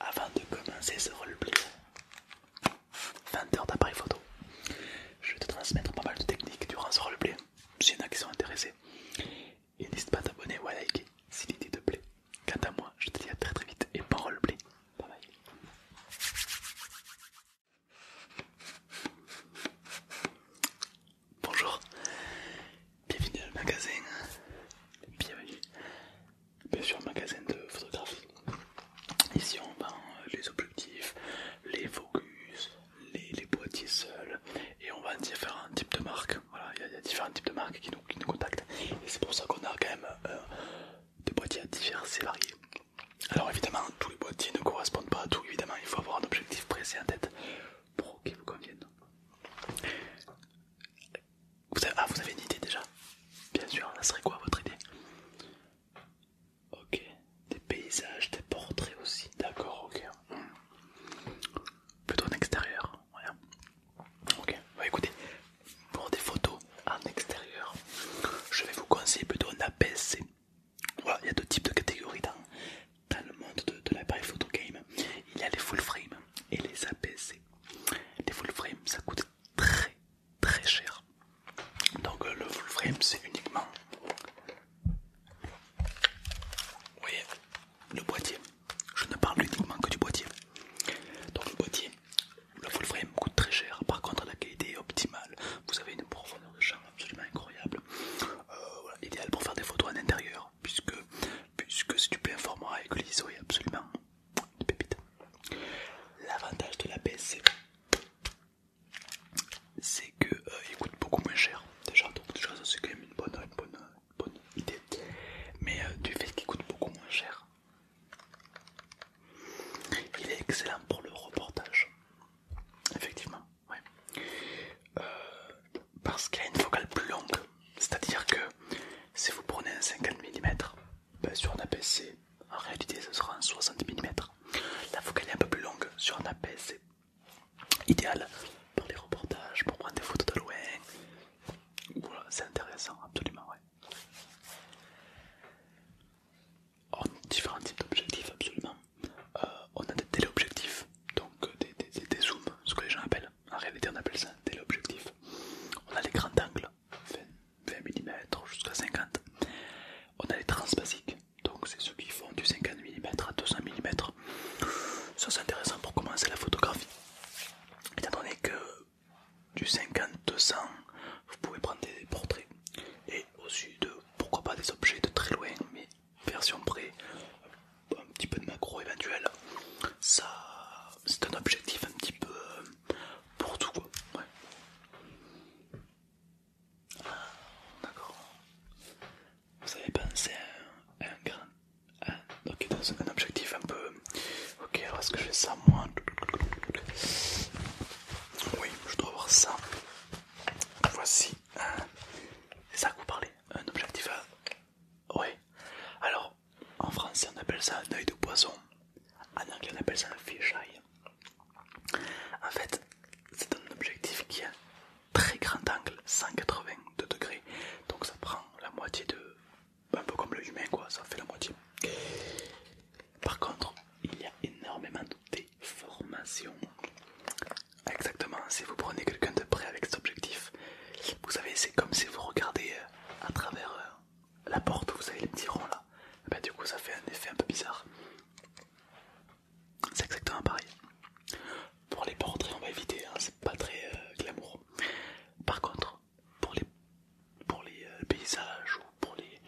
Avant de commencer ce roleplay, 20 heures d'appareil photo, je vais te transmettre pas mal de techniques durant ce roleplay, s'il y en a qui sont intéressés. Et n'hésite pas à t'abonner ou à liker si l'idée te plaît. Quant à moi, je te dis à très très vite et bon roleplay. Bye bye. Bonjour, bienvenue dans le magasin, bienvenue bien sûr magasin de photographie. Ici on vend euh, les objectifs, les focus, les, les boîtiers seuls et on vend différents types de marques. Voilà, il y, a différents types de marques qui nous, qui nous contactent et c'est pour ça qu'on a quand même euh, des boîtiers divers et variés. Alors évidemment tous les boîtiers ne correspondent pas à tout, évidemment il faut avoir un objectif précis en tête pour qu'il vous convienne. Vous avez... Ah, vous avez une idée déjà Bien sûr, ça serait quoi votre idée Ok, des paysages, des portraits aussi, d'accord, ok. Plutôt en extérieur, voilà. Ok, bah, écoutez, pour des photos en extérieur, je vais vous conseiller plutôt un APS-C. Voilà, il y a deux types de catégories dans, le monde de, l'appareil photo game. Il y a les full frame et les aps les full frame, ça coûte très très cher. Donc euh, le full frame, c'est uniquement... Vous voyez, le boîtier. Je ne parle uniquement que du boîtier. Donc le boîtier, le full frame coûte très cher. Par contre, la qualité est optimale. Vous avez une profondeur de champ absolument incroyable. Euh, idéal pour faire des photos en intérieur puisque, puisque tu peux informer format et l'ISO est absolument une pépite. L'avantage de la BSC, c'est qu'il euh, coûte beaucoup moins cher déjà c'est quand même une bonne, bonne, idée mais euh, du fait qu'il coûte beaucoup moins cher il est excellent pour le reportage effectivement euh, parce qu'il a une focale plus longue c'est-à-dire que si vous prenez un 50 mm, ben, sur un APC, en réalité ce sera un 60 mm. La focale est un peu plus longue sur un APC. Idéal pour les reportages, pour prendre des photos de loin. c'est intéressant, absolument, On a différents types d'objectifs, absolument. Euh, on a des téléobjectifs, donc euh, des zooms, ce que les gens appellent. En réalité, on appelle ça l'objectif téléobjectif. On a les grands angles, 20, mm jusqu'à 50. On a les transbasiques, donc c'est ceux qui font du 50 mm à 200 mm. Ça c'est intéressant pour commencer la photographie. Étant donné que du 50-200, vous pouvez prendre des portraits et aussi de pourquoi pas des objets de très loin, mais version près, un petit peu de macro éventuel. Ça, c'est un objectif un petit peu euh, pour tout quoi. Ah, d'accord. Vous avez pensé à un grand. un objectif un peu. Ok, alors est-ce que je fais ça moi Oui, je dois avoir ça. Voici. Euh, c'est ça que vous parlez Un objectif Oui. Alors, en français on appelle ça un œil de poisson, en anglais on appelle ça un eye. En fait, c'est un objectif qui a très grand angle, 182 degrés, donc ça prend la moitié de. un peu comme le humain quoi, ça fait la moitié. Par contre, il y a énormément de déformations. Exactement, si vous prenez quelqu'un de près avec cet objectif, vous savez, c'est comme si vous regardez euh, à travers euh, la porte, où vous avez les petits ronds là. Eh ben, du coup, ça fait un effet un peu bizarre. C'est exactement pareil. Pour les portraits, on va éviter, hein, c'est pas très euh, glamour. Par contre, pour les, pour les paysages ou pour les,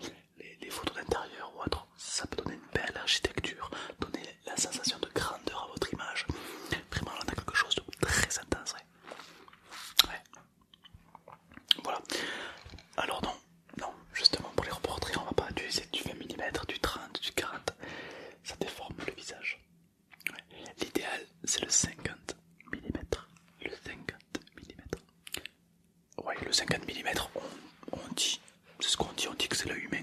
les, photos d'intérieur ou autre, ça peut donner une belle architecture, donner la sensation de grandeur à votre image. Vraiment, on a quelque chose de très intense. Voilà. Alors, non, justement, pour les reportraits, on va pas utiliser du 20 mm, du 30, du 40. Ça déforme le visage. L'idéal, c'est le 50 mm. Le 50 mm. Ouais, le 50 mm, on, dit, c'est ce qu'on dit, on dit que c'est l'œil humain.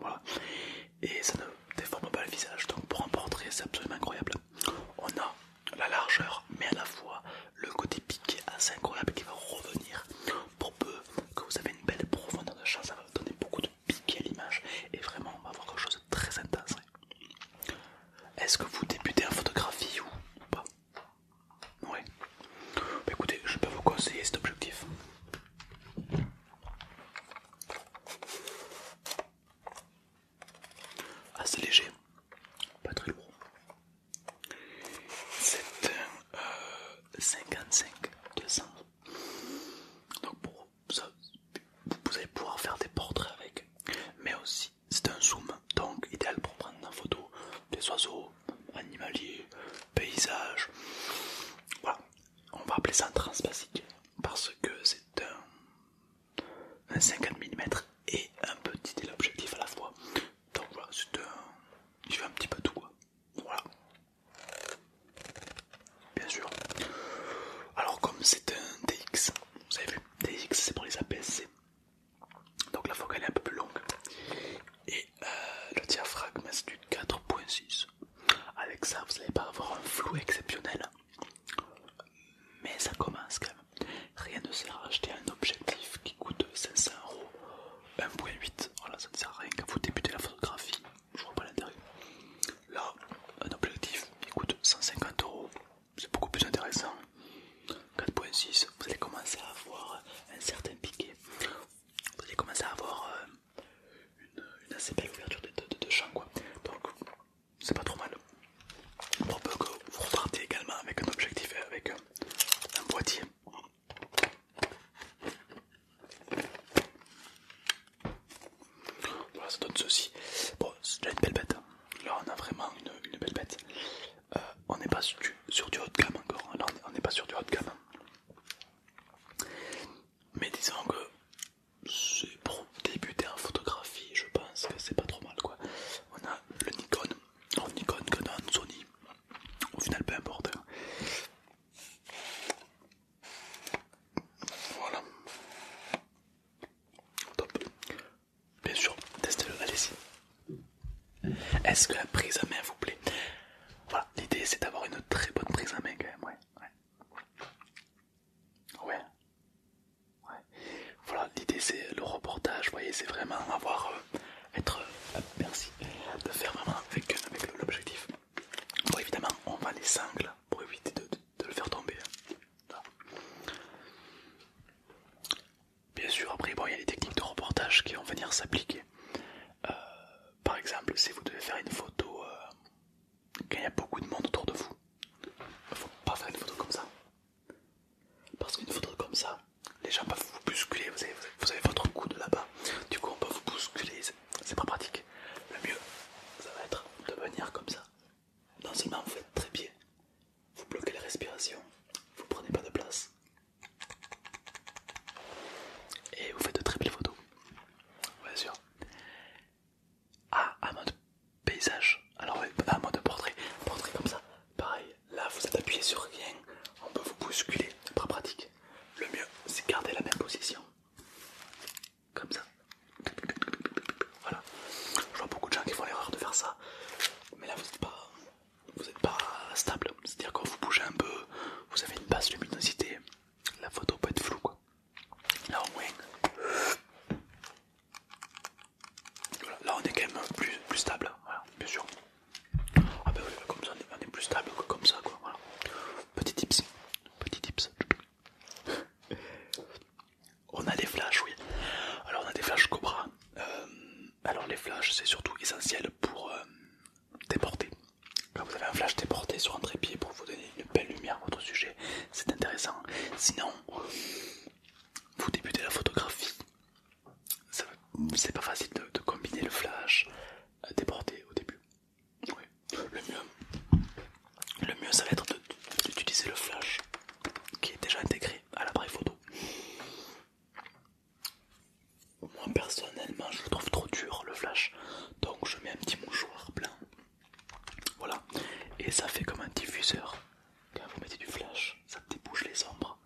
Voilà. Et ça ne déforme pas le visage. Donc pour un portrait, c'est absolument incroyable. On a la largeur, mais à la fois le côté piqué assez incroyable qui va revenir. Pour peu que vous avez une belle profondeur de champ, ça va donner beaucoup de piqué à l'image. Et vraiment, on va avoir quelque chose de très intense. Est-ce que vous débutez en photographie ou pas Oui. Bah, écoutez, je peux vous conseiller cet objectif assez ah, léger, pas très lourd. C'est un euh, 55 200. Donc pour ça, vous allez pouvoir faire des portraits avec, mais aussi c'est un zoom, donc idéal pour prendre en photo des oiseaux, animaliers, paysages. Voilà, on va appeler ça un trans-basique parce que c'est un, 50 mm et un petit objectif à la fois. Donc voilà, c'est un. un petit peu tout Voilà. Bien sûr. Alors comme c'est un DX, vous avez vu, DX c'est pour les aps Donc la focale est un peu plus longue. Et euh, le diaphragme c'est du 4.6. Avec ça, vous n'allez pas avoir un flou exceptionnel. Mais ça commence quand même. Rien ne sert à acheter un objectif qui coûte 500 euros, 1.8. Voilà, ça ne sert à rien quand vous débutez la photographie. Je vois pas l'intérêt. Là, un objectif qui coûte 150 euros, c'est beaucoup plus intéressant. 4.6, vous allez commencer à avoir un certain piqué. Vous allez commencer à avoir euh, une, assez belle ouverture de, de, champ Donc c'est pas trop mal. on peut que vous repartez également avec un objectif avec un boîtier. Voilà, ça donne ceci. Bon, c'est déjà une belle bête. Là, on a vraiment une, belle bête. Euh, on n'est pas sur du, sur haut de gamme encore. on n'est pas sur du haut de gamme. Mais disons que c'est pour débuter en photographie, je pense que c'est pas trop mal quoi. On a le Nikon, le oh, Nikon, en Sony, au final peu importe. Hein. Voilà. Top. Bien sûr, testez-le, allez-y. Est-ce que la prise à main vous plaît Voilà, l'idée c'est d'avoir une très bonne prise à main quand même, ouais ouais. Ouais. Voilà, l'idée c'est le reportage, vous voyez, c'est vraiment avoir, euh, être, euh, merci, de faire vraiment avec, l'objectif. Bon, évidemment, on va les sangles pour éviter de, le faire tomber. Hein. Bien sûr, après, bon, il y a les techniques de reportage qui vont venir s'appliquer. Euh, euh, par exemple, si vous devez faire une photo euh, quand il y a beaucoup de monde autour de vous, il faut pas faire une photo comme ça. Parce qu'une photo comme ça, les gens peuvent vous bousculer, vous avez, votre coude là-bas, du coup on peut vous bousculer, c'est pas pratique. Le mieux, ça va être de venir comme ça. Non seulement vous faites très bien, vous bloquez la respiration, vous prenez pas de place, et vous faites de très belles photos. Bien sûr. Ah, à mode paysage. Alors en mode portrait. Portrait comme ça. Pareil, là vous êtes appuyé sur rien. On peut vous bousculer. pas pratique. Le mieux, c'est garder la même position. Comme ça. Voilà. Je vois beaucoup de gens qui font l'erreur de faire ça. Mais là vous n'êtes pas... stable. C'est-à-dire quand vous bougez un peu, vous avez une basse luminosité la photo peut être floue quoi. Là au moins, là on est quand même plus, stable, hein. bien sûr. Ah ben oui, comme ça on est, plus stable que comme ça quoi, voilà. Petit tips, petit tips. on a des flashs, oui. Alors on a des flashs Cobra. Euh, alors les flashs c'est surtout essentiel pour euh, déporter quand vous avez un flash déporté sur un trépied pour vous donner une belle lumière à votre sujet, c'est intéressant. Sinon, vous débutez la photographie. C'est pas facile de, combiner le flash euh, déporté au début. Le le mieux, ça va être d'utiliser le flash qui est déjà intégré à l'appareil photo. Moi personnellement je le trouve trop dur le flash donc je mets un petit mouchoir blanc voilà et ça fait comme un diffuseur quand vous mettez du flash ça débouche les ombres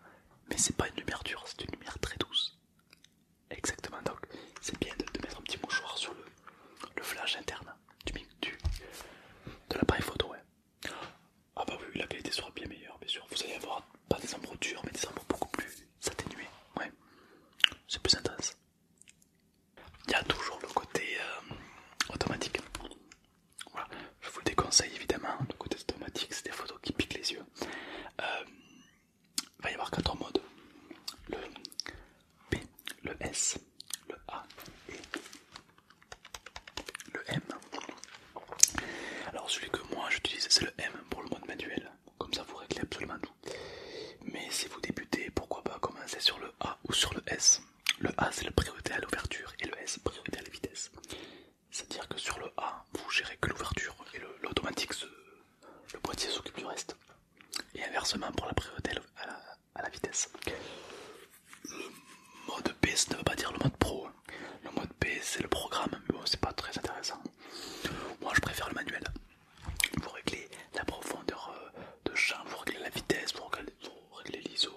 mais c'est pas une lumière dure c'est une lumière très douce exactement donc c'est bien de, mettre un petit mouchoir sur le, flash interne de l'appareil photo ouais. ah bah oui la qualité sera bien meilleure bien sûr vous allez avoir pas des ombres dures mais des ombres beaucoup plus s'atténuer, ouais, c'est plus intense. Il y a toujours le côté euh, automatique. Voilà. Je vous déconseille évidemment, le côté automatique c'est des photos qui piquent les yeux. il euh, va y avoir quatre modes, le P, le S, le A et le M. Alors celui que moi j'utilise c'est le M pour le mode manuel comme ça vous réglez absolument tout. Mais si vous débutez, pourquoi pas commencer sur le A ou sur le S. Le A c'est la priorité à l'ouverture et le S priorité à la vitesse. C'est-à-dire que sur le A, vous gérez que l'ouverture et l'automatique, le boîtier s'occupe du reste. Et inversement pour la priorité à la, vitesse. Le mode B ne veut pas dire le mode pro, le mode P c'est le programme, mais bon, c'est pas très intéressant. Moi je préfère le manuel. Vous réglez la profondeur euh, de champ, vous réglez la vitesse, vous réglez l'ISO,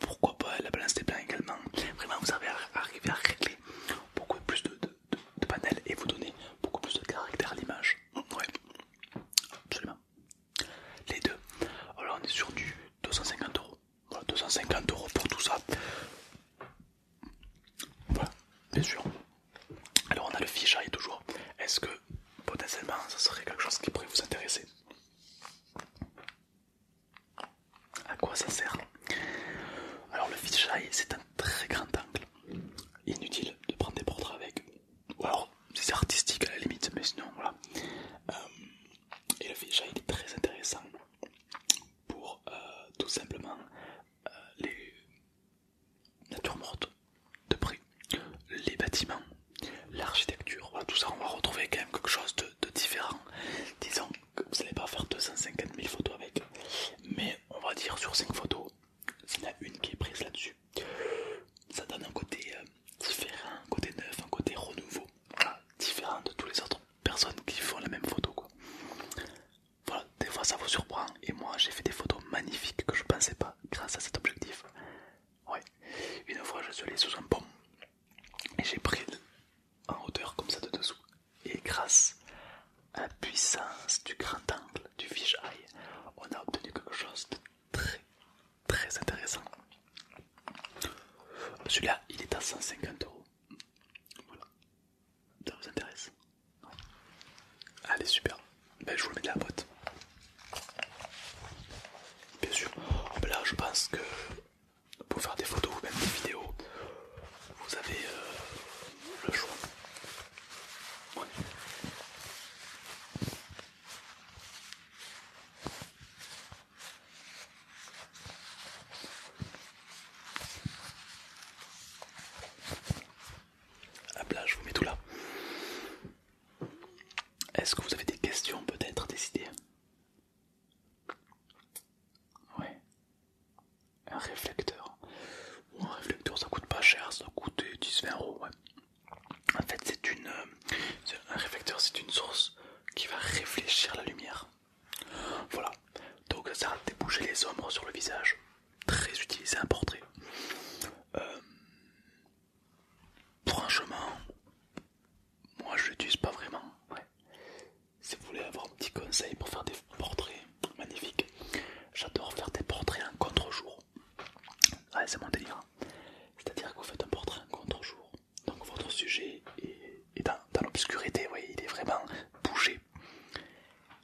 pourquoi pas la balance des plans également. Vraiment, vous arrivez à régler beaucoup plus de, panels et vous donnez beaucoup plus de caractère à l'image. Ouais, absolument. Les deux. Alors on est sur du 250 euros. Voilà, 250 euros pour tout ça. Bah, bien sûr. Alors on a le fisheye toujours. Est-ce que potentiellement ça serait quelque chose qui pourrait vous intéresser À quoi ça sert Alors le fisheye c'est un très grand angle. Inutile de prendre des portraits avec. Ou alors c'est artistique à la limite, mais sinon voilà. Euh, et le fisheye il est très intéressant pour euh, tout simplement euh, les natures mortes de prix, les bâtiments, l'architecture, voilà tout ça on va retrouver quand même quelque chose de, différent. Disons que vous n'allez pas faire 250 000 photos avec, mais on va dire sur 5 photos, il y en a une qui est prise là-dessus, ça donne un côté euh, différent, un côté neuf, un côté renouveau, différent de tous les autres personnes qui font la même photo quoi. Voilà, des fois ça vous surprend et moi j'ai fait des photos magnifiques que je ne pensais pas grâce à cet objectif. Ouais, une fois je suis allé sous un pont et j'ai pris en hauteur comme ça de dessous et grâce à la puissance du grand angle du fisheye, on a obtenu quelque chose de très très intéressant. Celui-là il est à 150 euros. Voilà. Ça vous intéresse Allez, super. Ben, je vous mets de la boîte. Bien sûr. Oh, ben là, je pense que pour faire des photos ou même des vidéos, vous avez euh, le choix. La plage je vous mets tout là. Est-ce que vous avez des questions peut-être, des idées Ouais. Un réflecteur. un réflecteur, ça coûte pas cher, ça coûte 10-20 En fait, c'est une. Euh, un réflecteur, c'est une source qui va réfléchir la lumière. Voilà, donc ça a débouché les ombres sur le visage, très utilisé un portrait. Euh, franchement, moi je l'utilise pas vraiment. Si vous voulez avoir un petit conseil pour faire des portraits magnifiques, j'adore faire des portraits en contre-jour. c'est mon délire. C'est-à-dire que vous faites un portrait en contre-jour donc votre sujet est, dans, l'obscurité, oui, il est vraiment bougé.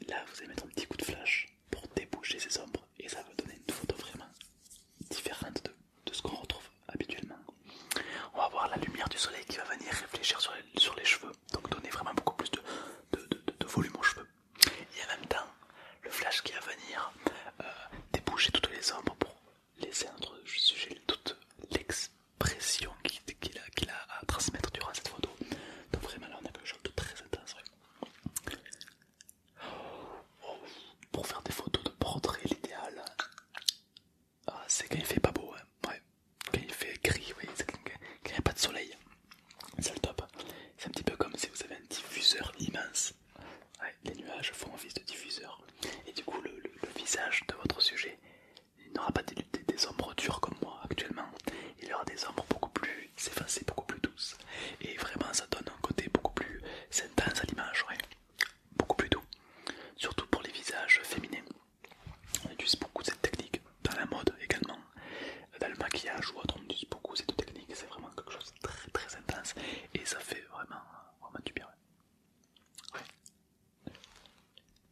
Là, vous allez mettre un petit coup de flash pour déboucher ces ombres et ça va donner une photo vraiment différente de, ce qu'on retrouve habituellement. On va voir la lumière du soleil qui va venir réfléchir sur les, cheveux, donc donner vraiment beaucoup plus de, volume aux cheveux. Et en même temps, le flash qui va venir euh, déboucher toutes les ombres pour laisser êtres notre sujet toute l'expression qu'il a, à transmettre durant cette photo. Donc vraiment là on a quelque chose de très intense. pour faire des photos de portrait, l'idéal, ah, c'est quand il fait pas beau, hein. quand il fait gris, quand il n'y a pas de soleil, c'est le top. C'est un petit peu comme si vous avez un diffuseur immense. les nuages font office de diffuseur et du coup le visage de votre sujet il n'aura pas des, des, ombres dures comme moi actuellement, il aura des ombres beaucoup plus effacées, beaucoup plus douces, et vraiment ça donne un côté beaucoup plus intense à l'image, j'aurais beaucoup plus doux, surtout pour les visages féminins. On utilise beaucoup cette technique dans la mode également, dans le maquillage ou autre, on utilise beaucoup cette technique, c'est vraiment quelque chose de très très intense et ça fait vraiment, vraiment du bien.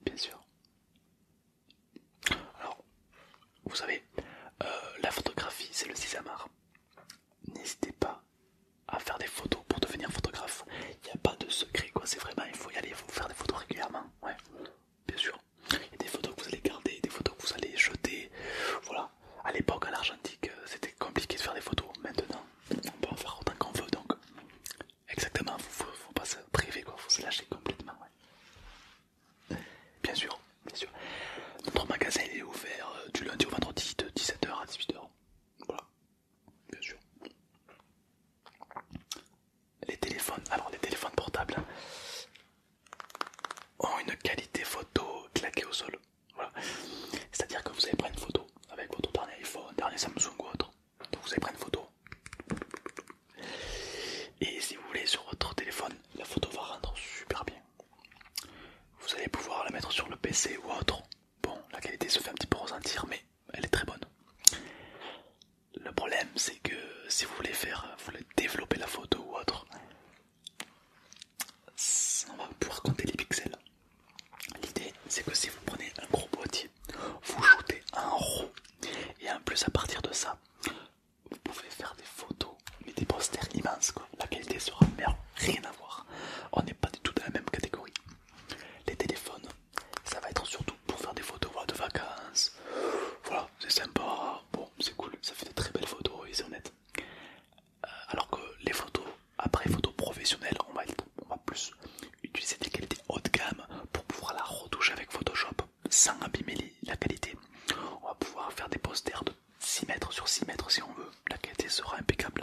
Bien sûr. Alors, vous savez, euh, la photographie, c'est le sésame. N'hésitez pas à faire des photos pour devenir photographe. Il n'y a pas de secret, quoi. C'est vraiment, il faut y aller, il faut faire des photos régulièrement. Ouais, bien sûr. Il y a des photos que vous allez garder, des photos que vous allez jeter. Voilà. À l'époque, à l'argentique, euh, c'était compliqué de faire des photos. Maintenant, on peut en faire autant qu'on veut donc exactement faut, faut, pas se priver quoi faut se lâcher complètement bien sûr bien sûr notre magasin est ouvert euh, du lundi au vendredi de 17h à 18h voilà bien sûr les téléphones alors les téléphones portables hein, ont une qualité photo claquée au sol c'est à dire que vous allez prendre une photo avec votre dernier iPhone, dernier Samsung ou autre. vous allez prendre une photo. Et si vous voulez sur votre téléphone, la photo va rendre super bien. Vous allez pouvoir la mettre sur le PC ou autre. Bon, la qualité se fait un petit peu ressentir, mais elle est très bonne. Le problème, c'est que si vous voulez faire, vous voulez développer la photo ou autre, on va pouvoir compter les pixels. L'idée, c'est que si vous prenez un gros boîtier, vous jouez en roue et en plus à partir de ça, vous pouvez faire des photos, mais des posters immenses. La qualité sera meilleure, rien à voir. On n'est pas du tout dans la même catégorie. Les téléphones, ça va être surtout pour faire des photos de vacances. Voilà, c'est sympa, bon, c'est cool, ça fait de très belles photos et c'est honnête alors que les photos, après photos professionnelles, on va, plus utiliser des qualités haut de gamme pour pouvoir la retoucher avec Photoshop sans abîmer la qualité. On va pouvoir faire des posters de 6 mètres sur 6 mètres si on veut, la qualité sera impeccable.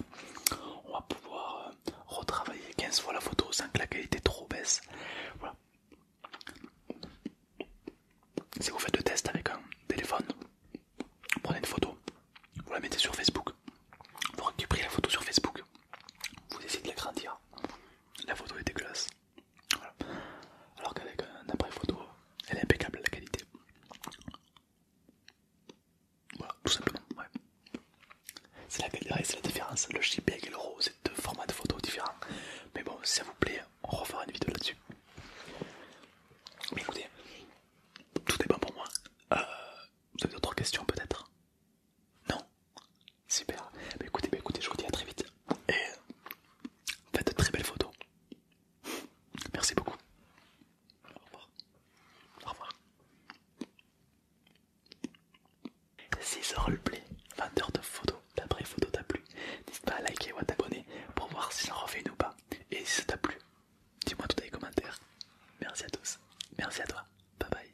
On va pouvoir euh, retravailler 15 fois la photo sans que la qualité trop baisse. Voilà. Si vous faites le test avec un téléphone, vous prenez une photo, vous la mettez sur Facebook, vous récupérez la photo sur Facebook, vous essayez de l'agrandir, la photo est dégueulasse. Alors qu'avec un après photo, elle est impeccable la qualité. Voilà, tout simplement. C'est la la différence. Le JPEG et le RAW, c'est deux formats de photos différents. Mais bon, si ça vous plaît, on refera une vidéo là-dessus. Mais écoutez, tout est bon pour moi. Euh, vous avez d'autres questions peut-être Non Super. Mais bah, écoutez, bah, écoutez, je vous dis à très vite. Et faites de très belles photos. Merci beaucoup. Au revoir. Au revoir. Si heures roleplay, 20 heures de photos. d'après photo t'a plu. N'hésite pas à liker ou à t'abonner pour voir si ça refais une ou pas. Et si ça t'a plu, Dis-moi tout dans les commentaires. Merci à tous. Merci à toi. Bye bye.